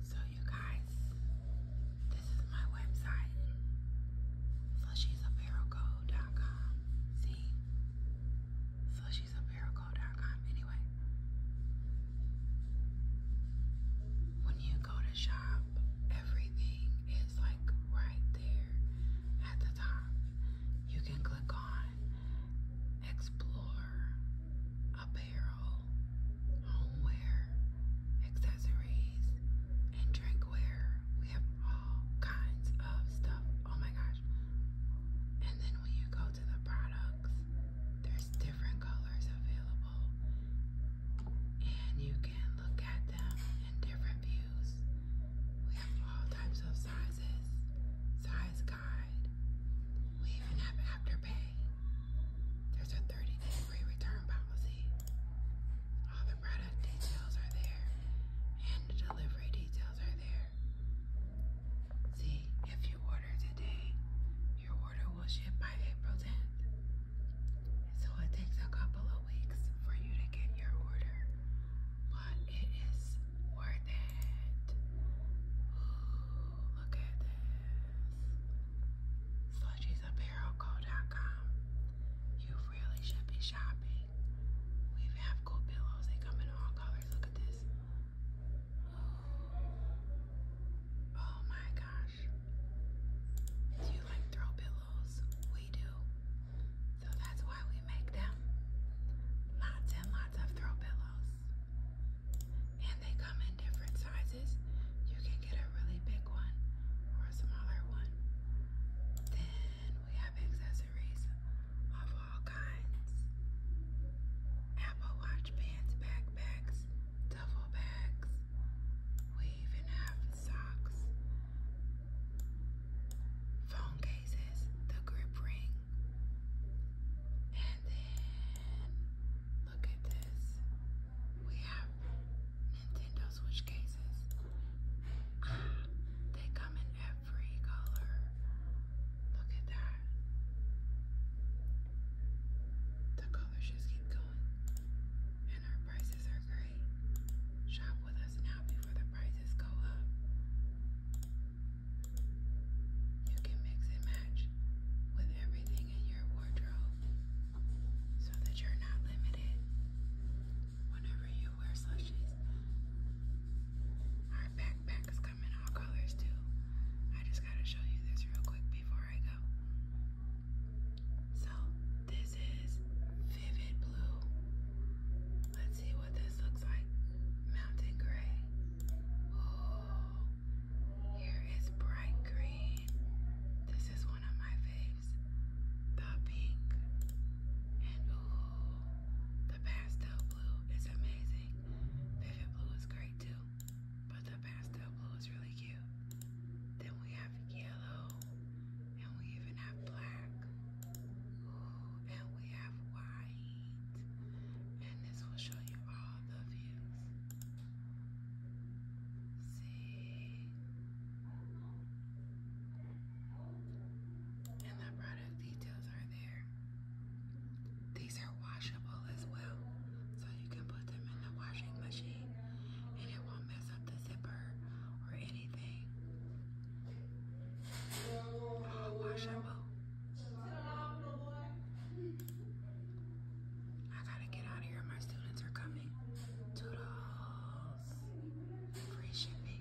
So you guys, this is my website, flushiesapparelco.com. See? Flushiesapparelco.com. Anyway, when you go to shop, everything is like right there at the top. You can click on explore apparel, homeware, accessories, and drinkware. We have all kinds of stuff. Oh my gosh. And then when you go to the products, there's different colors available. And you can look at them in different views. We have all types of sizes, size we even have afterpay. There's a 30-day free return policy. All the product details are there, and the delivery details are there. See, if you order today, your order will ship by April 10th. So it takes a couple of weeks for you to get your order but it is worth it. look at this. Slushy'sApparelCo.com. You really should be shopping. We have cool pillows. They come in all colors. Look at this. Oh my gosh. Do you like throw pillows? We do. So that's why we make them lots and lots of throw pillows. And they come in different sizes. You can get a really big one or a smaller one. Then we have accessories of all kinds. Apple Watch bands, backpacks, duffel bags. We even have socks phone cases, the grip ring, and then look at this. We have Nintendo Switch cases. Ah, they come in every color. Look at that. The colors just keep going and our prices are great. Shop with us now before the prices go up. You can mix and match with everything in your wardrobe so that you're not limited whenever you wear slushies. Our backpacks come in all colors too. I just gotta show you this real quick before I go. So this is vivid blue. Let's see what this looks like. Mountain gray. Oh, here is bright green. This is one of my faves. The pink. And ooh, the pastel blue is amazing. Vivid blue is great too but the pastel blue is really cute. Then we have yellow, and we even have black. and we have white. And this will show you all the views. See? And the product details are there. These are washable as well, so you can put them in the washing machine and it won't mess up the zipper or anything. washable. I gotta get out of here. My students are coming. Toodles. Free shipping.